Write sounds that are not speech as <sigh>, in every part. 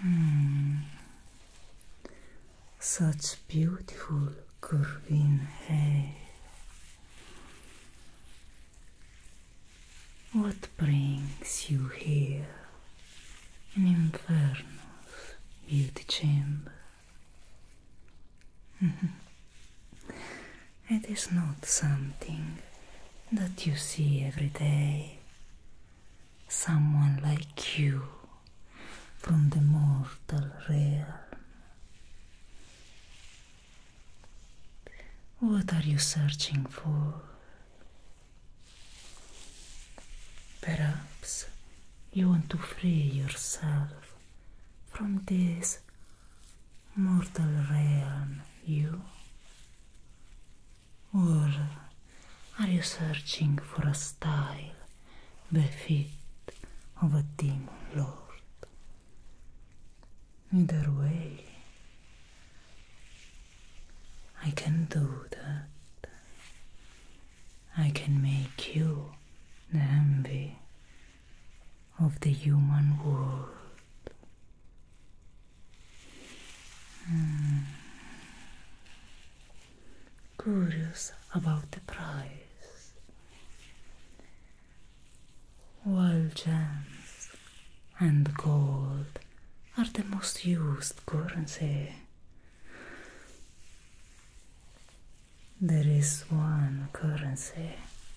Hmm. Such beautiful curving hair. What brings you here in Inferno's beauty chamber? Mm-hmm. it is not something that you see every day. Someone like you from the mortal realm. What are you searching for? Perhaps you want to free yourself from this mortal realm, you? Or are you searching for a style befit of a demon lord? Either way, I can do that. I can make you the envy of the human world. Hmm. Curious about the price. Well, gems and gold are the most used currency. There is one currency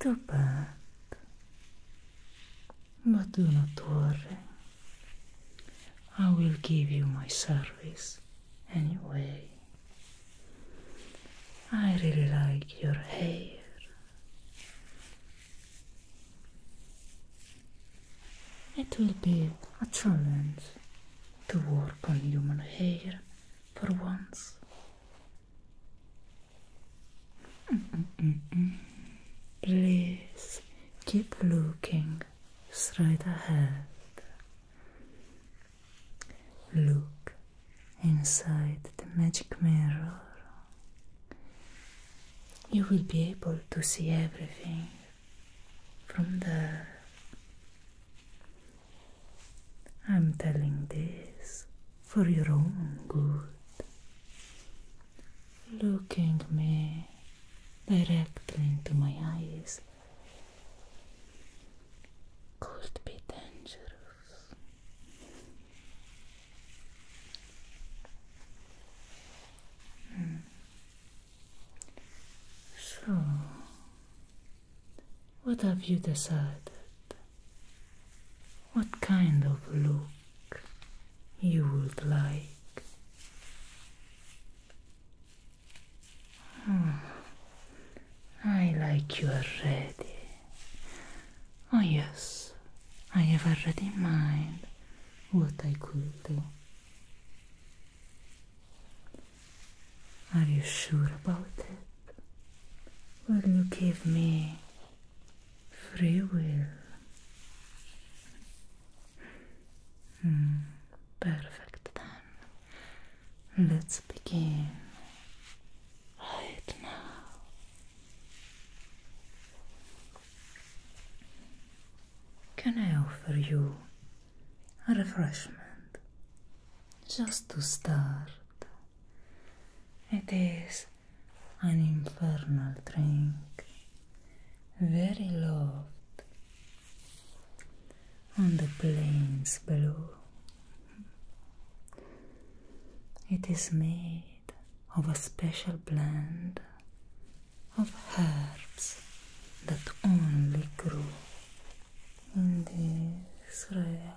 Too bad. But do not worry. I will give you my service anyway. I really like your hair. It will be a challenge to work on human hair for once. Please keep looking straight ahead. Look inside the magic mirror. You will be able to see everything from there. I'm telling this for your own good. Looking me directly into my eyes could be dangerous. Hmm. So, what have you decided? what kind of look you would like. Hmm. I like you already. Oh, yes, I have already in mind what I could do. Are you sure about it? Will you give me free will. Hmm, perfect then. Let's begin right now. Can I offer you a refreshment just to start? It is an infernal drink, very loved on the plains below. It is made of a special blend of herbs that only grew in this realm.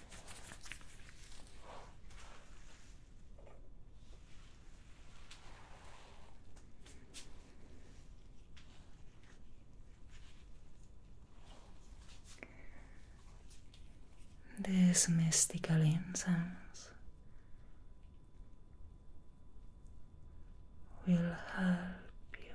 This mystical incense will help you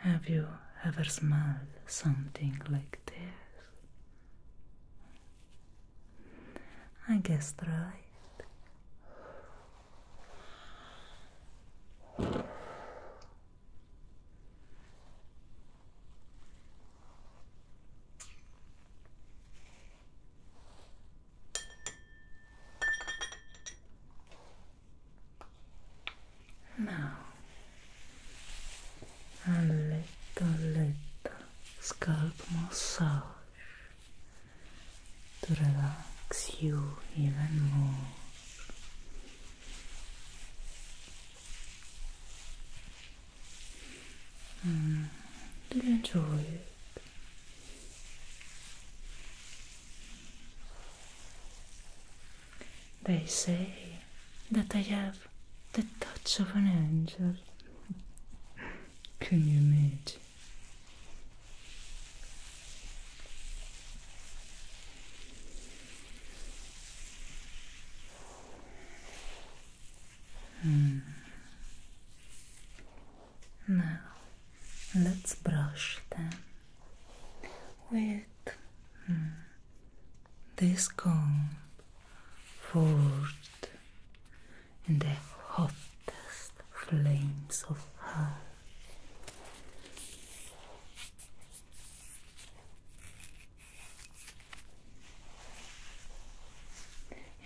Have you ever smelled something like this? I guess right. Now, a little, little scalp massage to relax you even more. Mm, you enjoy it? They say that I have the touch of an angel. Can you imagine? Mm. Now let's brush them with hmm, this comb forged in the hottest flames of hell.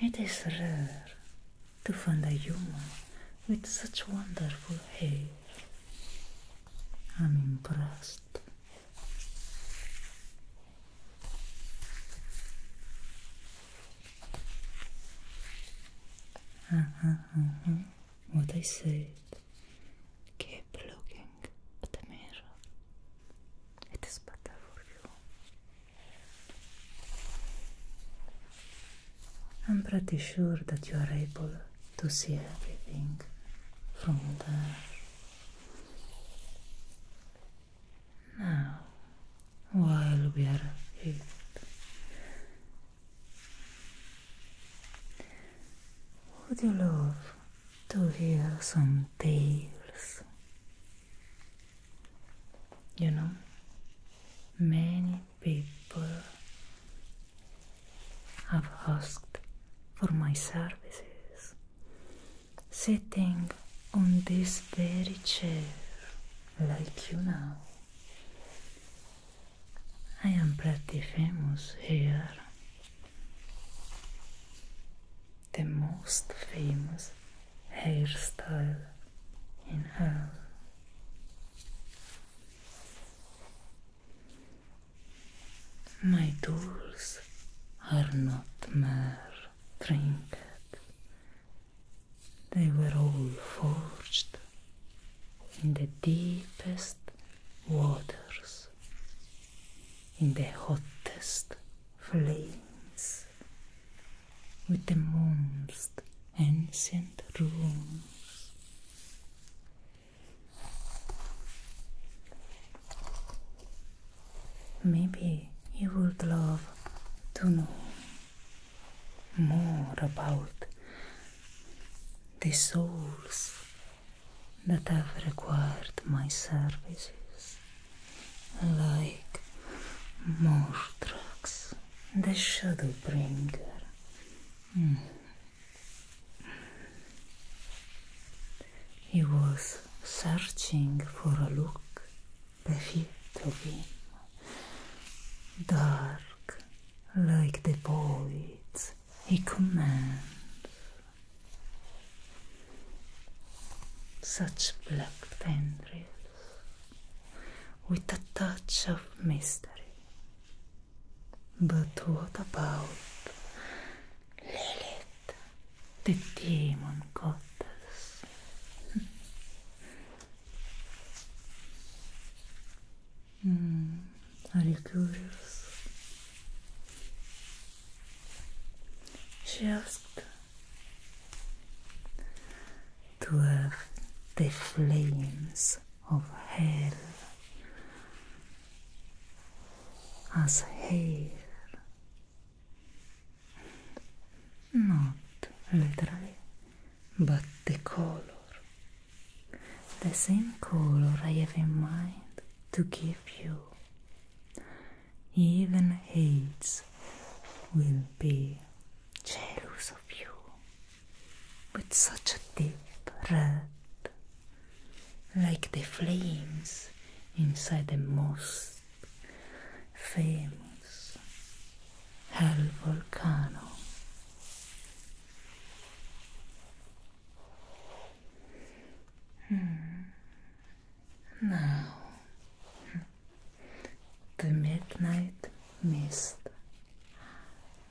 It is rare to find a human with such wonderful hair. I'm impressed. What I said. Keep looking at the mirror. It is better for you. I'm pretty sure that you are able to see everything from there. Now, while we are here, would you love to hear some tales? You know, many people have asked for my services sitting on this very chair like you now. I am pretty famous here. The most famous hairstyle in hell. My tools are not mere trinkets. They were all forged in the deepest waters, in the hottest flames, with the most ancient runes. Maybe you would love to know more about the souls that have required my services, like Mortrax, the Shadowbringer. Mm. He was searching for a look befit of him, dark like the poets he commands. Such black tendrils with a touch of mystery. But what about Lilith, the demon goddess? mm, are you curious? She asked to have the flames of hell as hair, not literally, but the color, the same color I have in mind to give you, even hates will be jealous of you. with such a deep red, like the flames inside the most famous hell volcano. Hmm. Now, the midnight mist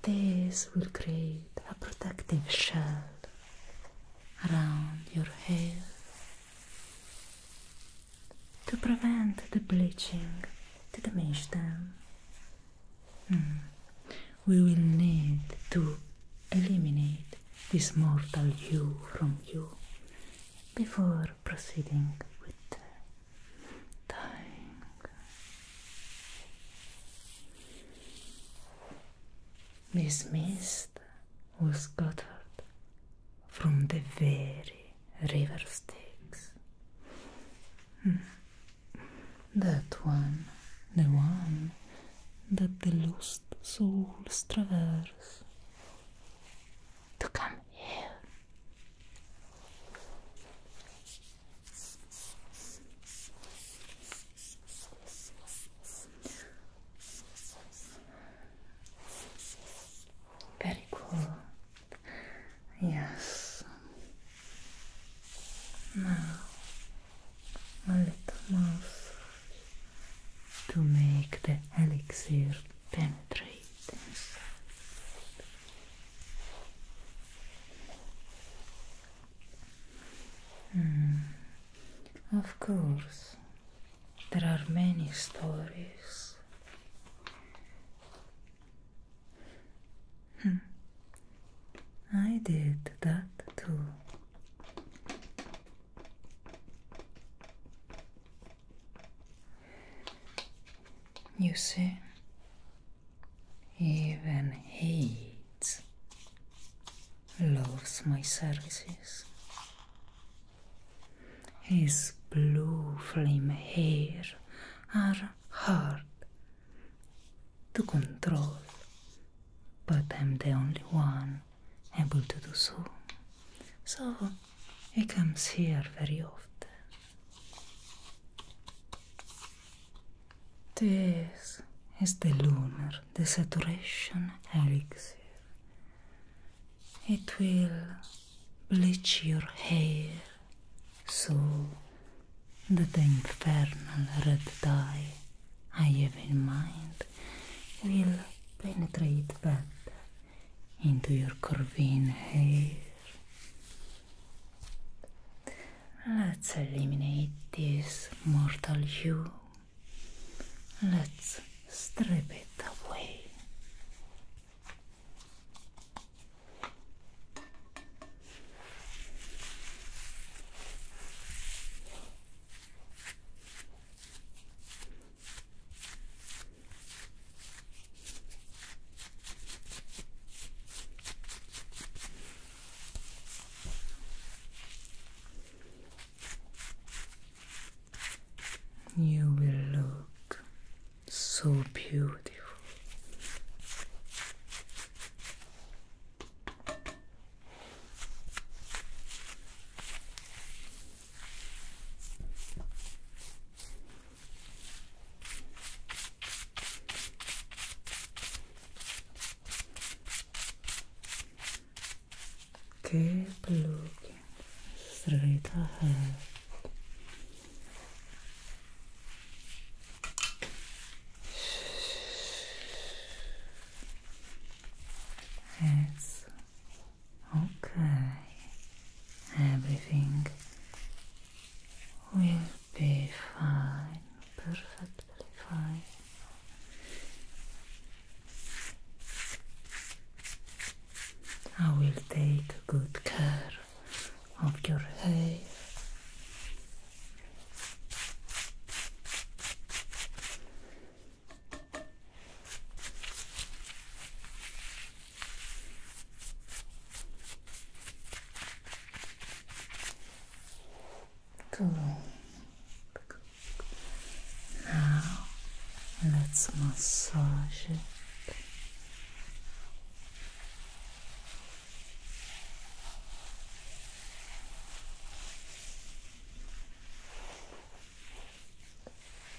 this will create a protective shell around your hair to prevent the bleaching to damage them. Mm. We will need to eliminate this mortal you from you before proceeding with dying. Mm. This mist was gathered from the very river Styx. Hmm. That one, the one that the lost souls traverse to come here. Very cool. Yes. Now a little mouth to make the elixir penetrate inside. Hmm. of course, there are many stories. Hmm. I did that too. You see, even hate loves my services. His blue flame hair are hard to control, but I'm the only one able to do so. So he comes here very often. This is the lunar desaturation elixir. It will bleach your hair so that the infernal red dye I have in mind will penetrate better into your corvine hair. Let's eliminate this mortal you. Let's strip it away. You will look so beautiful. Keep looking straight ahead. It's okay. Everything will be fine. Perfect. I will take good care of your hair. Cool. Now let's massage it.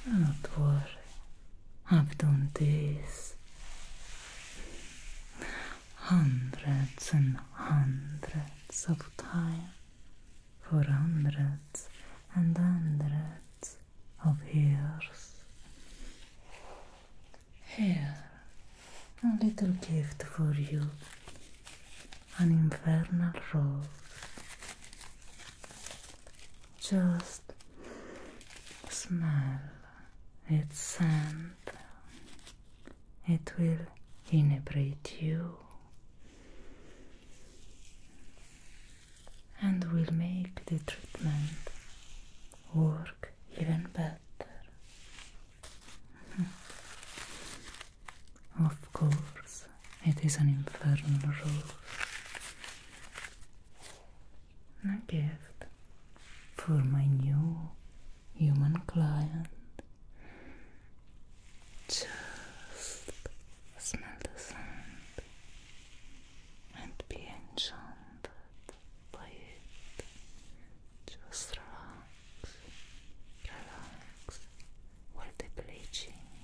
Not worry, I've done this hundreds and hundreds of times for hundreds and hundreds of years. Here, a little gift for you an infernal rose. Just smell its scent it will inebriate you and will make the treatment work even better. <laughs> of course, it is an infernal rose. A gift for my new human client. Just smell the scent and be enchanted by it. Just relax, relax while the bleaching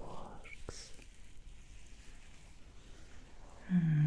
works. Hmm.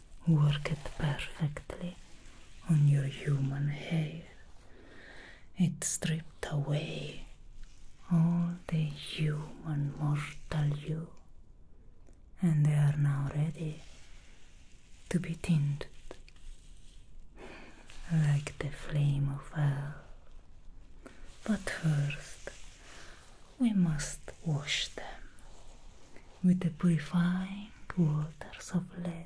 worked perfectly on your human hair. It stripped away all the human mortal you, and they are now ready to be tinted like the flame of hell. But first, we must wash them with the purifying waters of lead.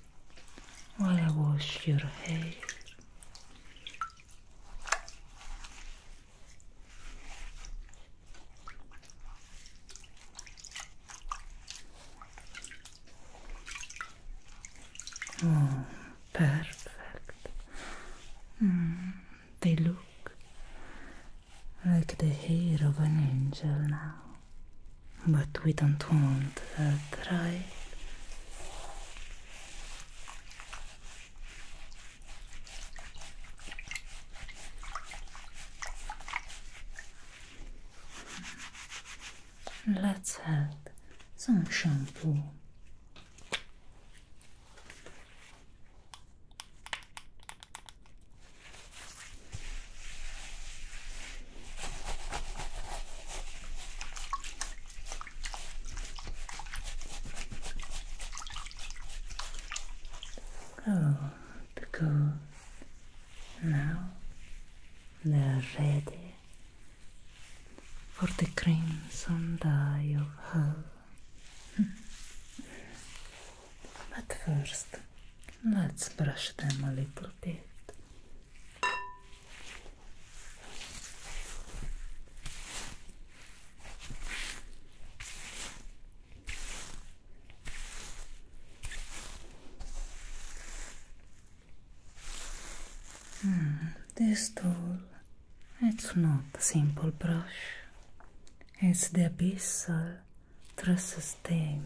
while I wash your hair. Mm, perfect. Mm, they look like the hair of an angel now. But we don't want that, right? Let's add some shampoo. Oh, because now they are ready for the crimson dye of hell. <laughs> but first, let's brush them a little bit This tool, it's not a simple brush, it's the abyssal trusses theme.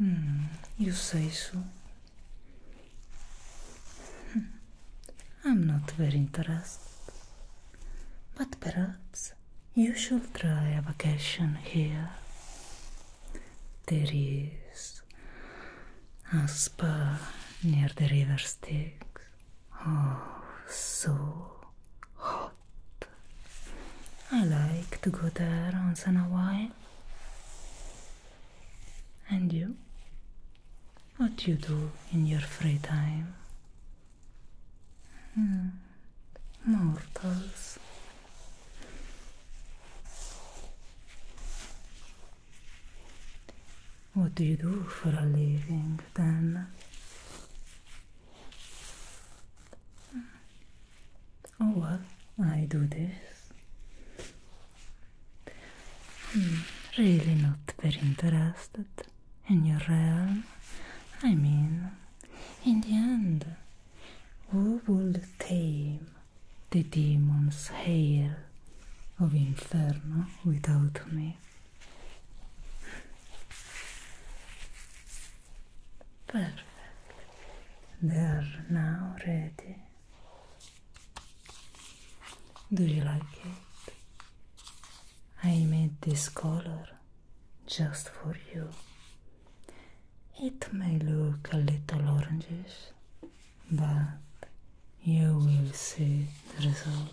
Hum, e o sexo? I'm not very interested. But perhaps you should try a vacation here. There is a spa near the river Styx. Oh, so hot. I like to go there once in a while. And you? What do you do in your free time? Hmm, mortals. What do you do for a living then? Oh, well, I do this. Hmm, really not very interested in your realm. I mean, in the end, who would tame the demon's hail of inferno without me? Perfect. They are now ready. Do you like it? I made this color just for you. It may look a little orangish, but you will see the result.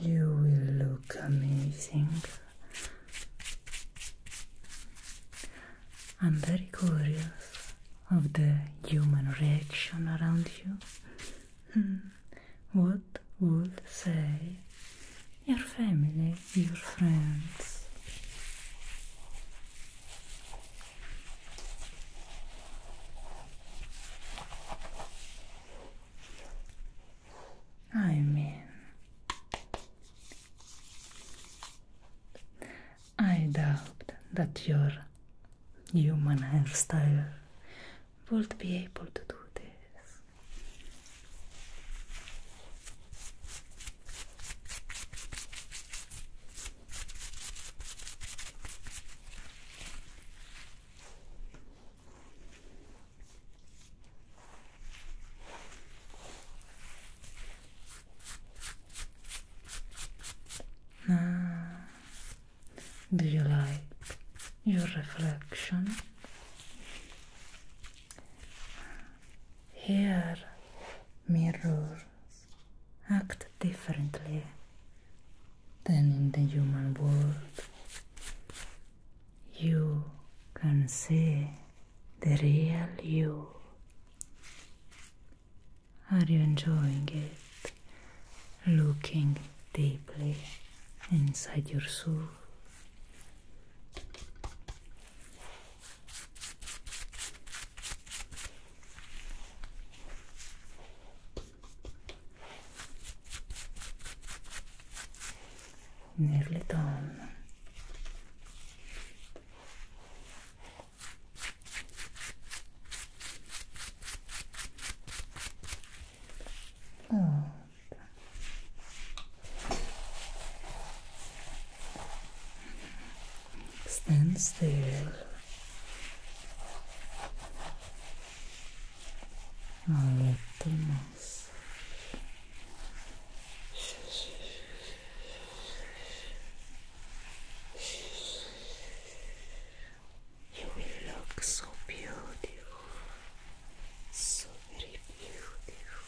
You will look amazing. I'm very curious of the human reaction around you. Hmm. what would say your family, your friends? I mean, I doubt that your human hairstyle would be able to do this. Ah. do you like your reflection? Here, mirrors act differently then in the human world. You can see the real you. Are you enjoying it? Looking deeply inside your soul. Nearly done. Oh. Stand still a little massage. You will look so beautiful, so very beautiful.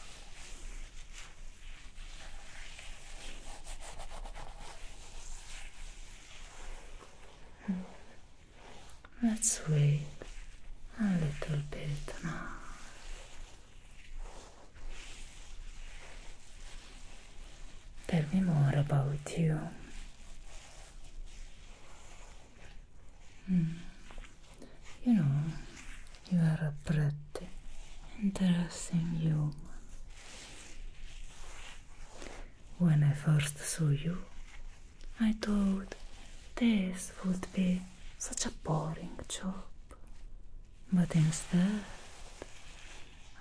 let's wait a little bit now. Tell me more about you. Mm. You know, you are a pretty interesting human. When I first saw you, I thought this would be such a boring job, but instead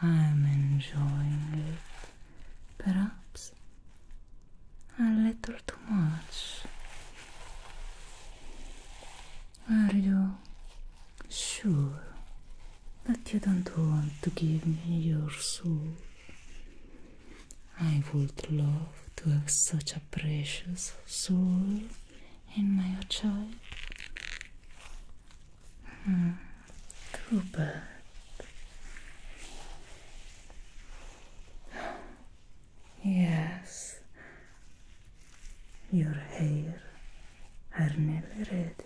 I'm enjoying it. Perhaps a little too much. Are you sure that you don't want to give me your soul? I would love to have such a precious soul in my child. Hmm, Yes, your hair are nearly ready.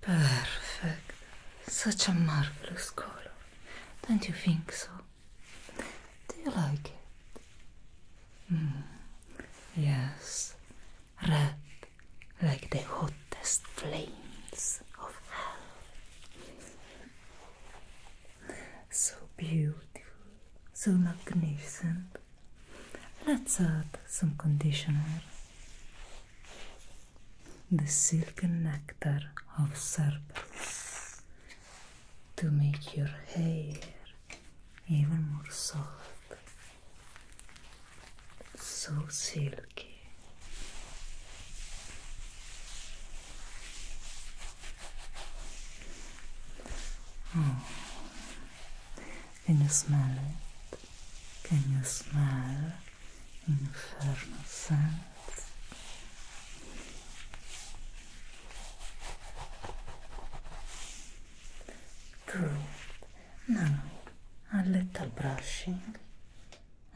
Perfect. Such a marvelous color. Don't you think so? Do you like it? Hmm. Yes. Red like the hottest flames of hell so beautiful, so magnificent. Let's add some conditioner. The silken nectar of serpents to make your hair even more soft, so silky. Can you smell it? Can you smell infernal scent? Good. Now a little brushing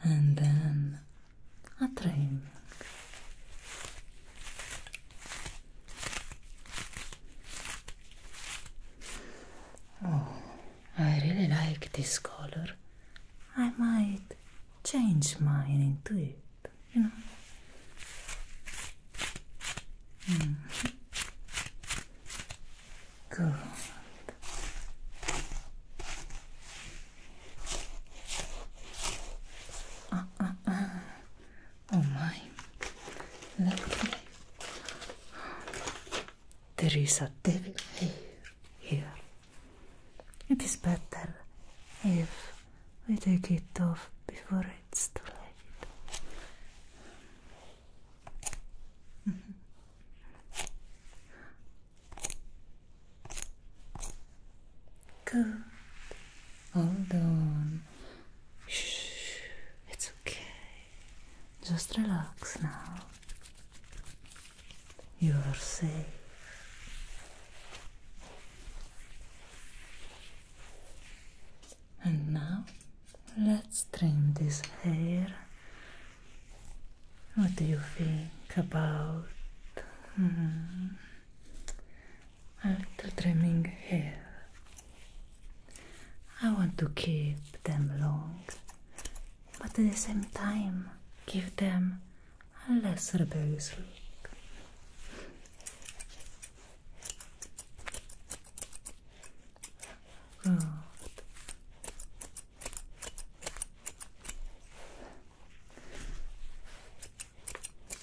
and then a training. Oh, I really like this color. I might change mine into it, you know. Mm-hmm. Good. Uh, uh, uh. Oh my, lovely. There is a devil here. It is better if we take it off before it's too late. Mm-hmm. Good. Hold on. Shh. It's okay. Just relax now. You are safe. And now let's trim this hair. What do you think about? -hmm a little trimming here. I want to keep them long, but at the same time give them a less rebellious look. Perfect.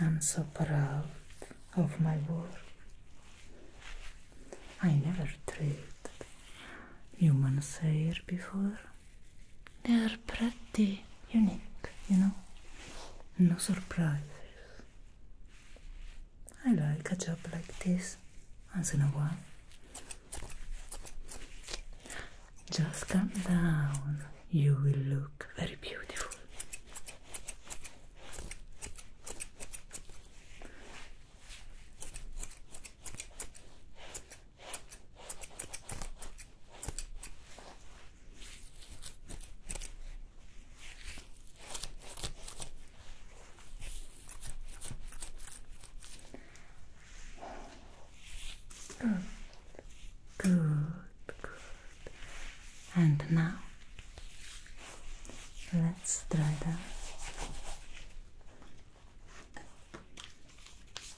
I'm so proud of my work. I never treated human hair before they're pretty unique, you know? No surprises. I like a job like this once in a while. Just calm down, you will look very beautiful. Good, good, And now let's try that.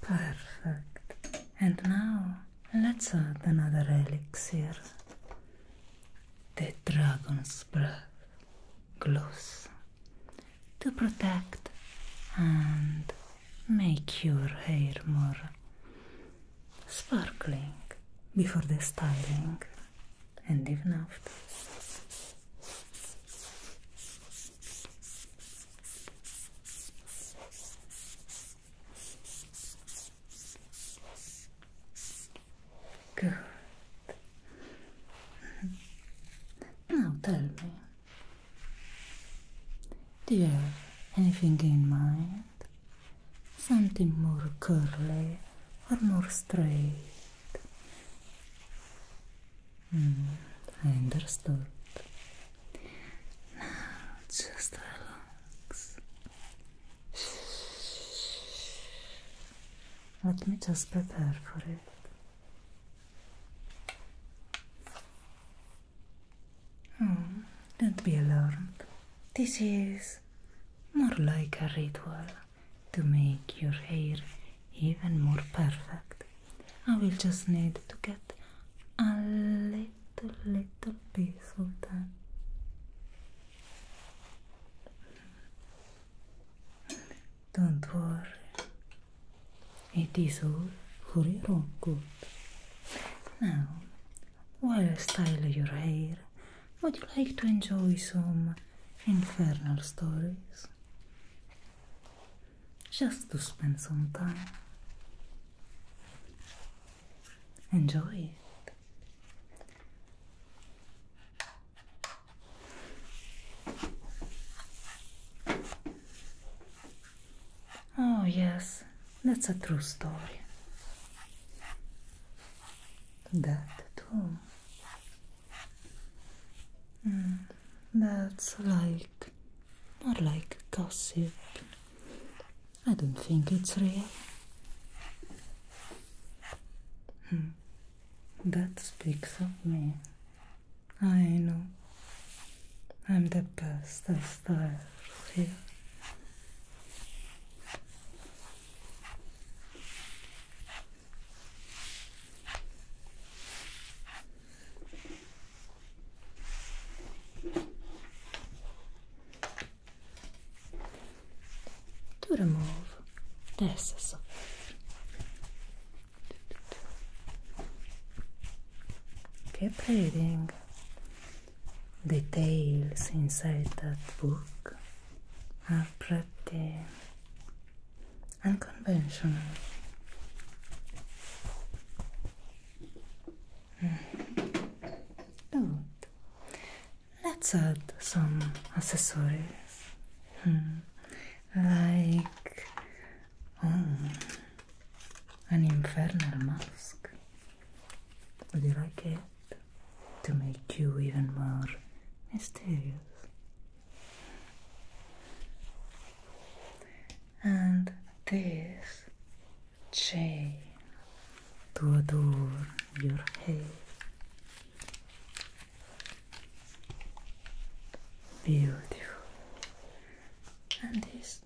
Perfect. And now let's add another elixir. The dragon's breath glows to protect and make your hair more sparkling before the styling and even after. Good. Now tell me, do you have anything in mind? Something more curly or more straight? Mm-hmm. I understood. Now just relax. Let me just prepare for it. Oh, don't be alarmed. This is more like a ritual to make your hair even more perfect. I will just need to get a little, little piece of that. Don't worry, it is all for your own good. Now, while I style your hair, would you like to enjoy some infernal stories? just to spend some time. Enjoy it. Oh, yes, that's a true story. That too. Mm that's like not like gossip. I don't think it's real. Hmm. That speaks of me. I know. I'm the best of stars here to remove the excess of Keep reading details inside that book are pretty unconventional. Good. Hmm. Oh. Let's add some accessories hmm. like oh, an infernal mask. Would you like it? To make you even more mysterious and this chain to adorn your hair, Beautiful. And this,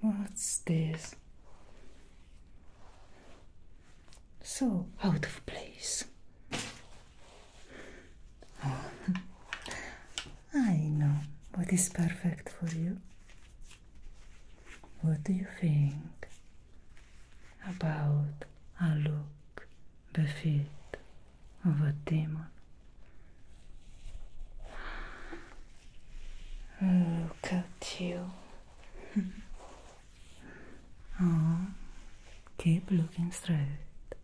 what's this? So out of place. <laughs> I know what is perfect for you. What do you think about a look befit of a demon? Look at you. oh, <laughs> keep looking straight.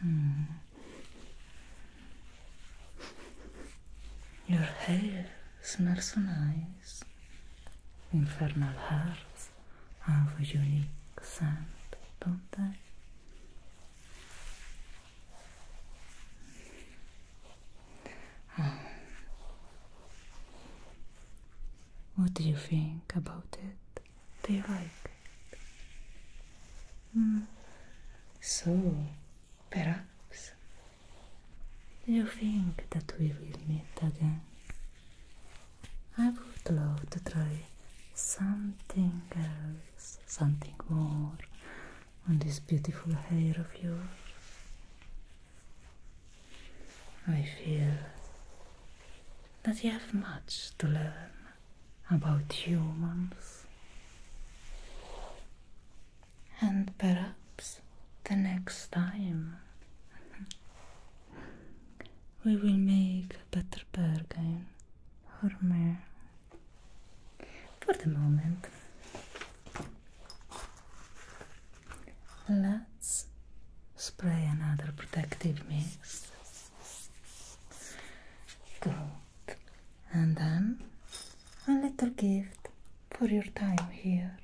Hmm. Your hair smells so nice. Infernal hearts have a unique scent, don't they? Hmm. What do you think about it? Do you like it? So, perhaps, you think that we will meet again? I would love to try something else, something more on this beautiful hair of yours. I feel that you have much to learn about humans. And perhaps the next time <laughs> we will make a better bargain for me. For the moment, let's spray another protective mist. Go and then a little gift for your time here.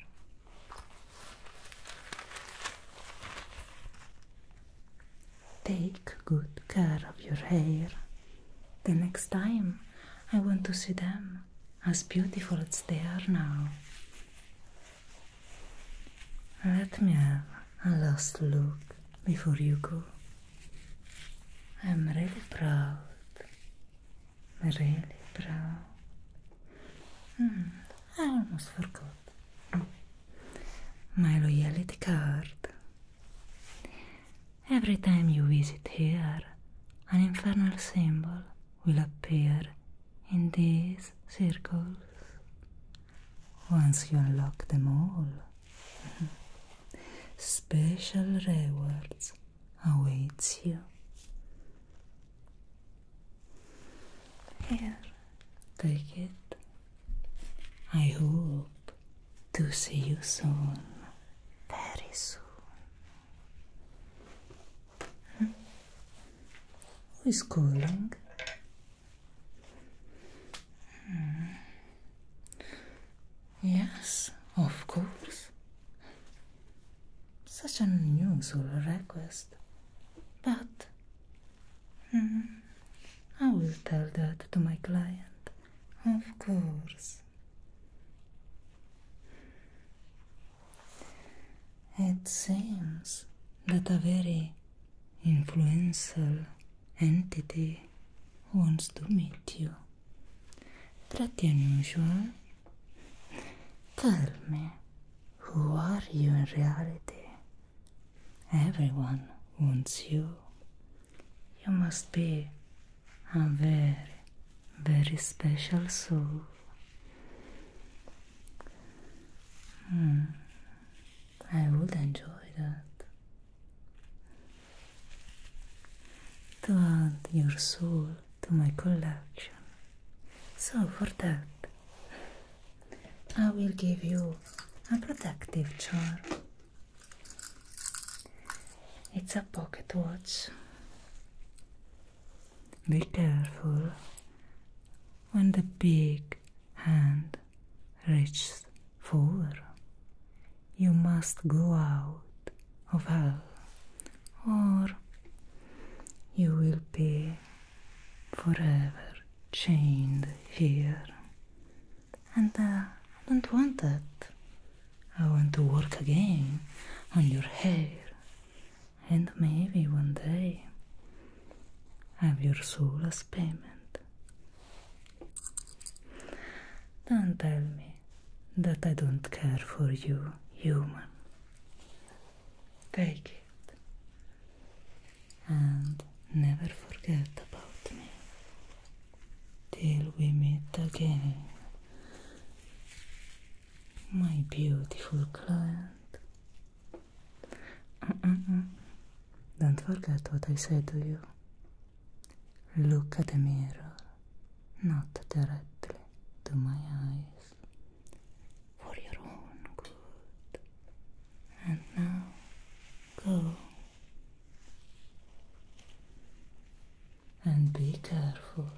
Take good care of your hair. The next time I want to see them as beautiful as they are now. Let me have a last look before you go. I'm really proud. Really proud. Mm, I almost forgot. My loyalty card. Every time you visit here, an infernal symbol will appear in these circles. Once you unlock them all, Special rewards awaits you. Here, take it. I hope to see you soon, very soon. Hmm? Who is calling? Hmm. Yes, of course. Such an unusual request. But hmm, I will tell that to my client. Of course. It seems that a very influential entity wants to meet you. Trattieni un usual. Tell me, who are you in reality? Everyone wants you. You must be a very, very special soul. Hmm. I would enjoy that. to add your soul to my collection. So, for that, I will give you a protective charm. It's a pocket watch. Be careful when the big hand reaches for you must go out of hell, or you will be forever chained here. And uh, I don't want that. I want to work again on your hair, and maybe one day have your soul as payment. Don't tell me that I don't care for you, human. Take it and never forget about me till we meet again, my beautiful client. Don't forget what I said to you. Look at the mirror, not directly to my eyes, for your own good. And now, go. And be careful.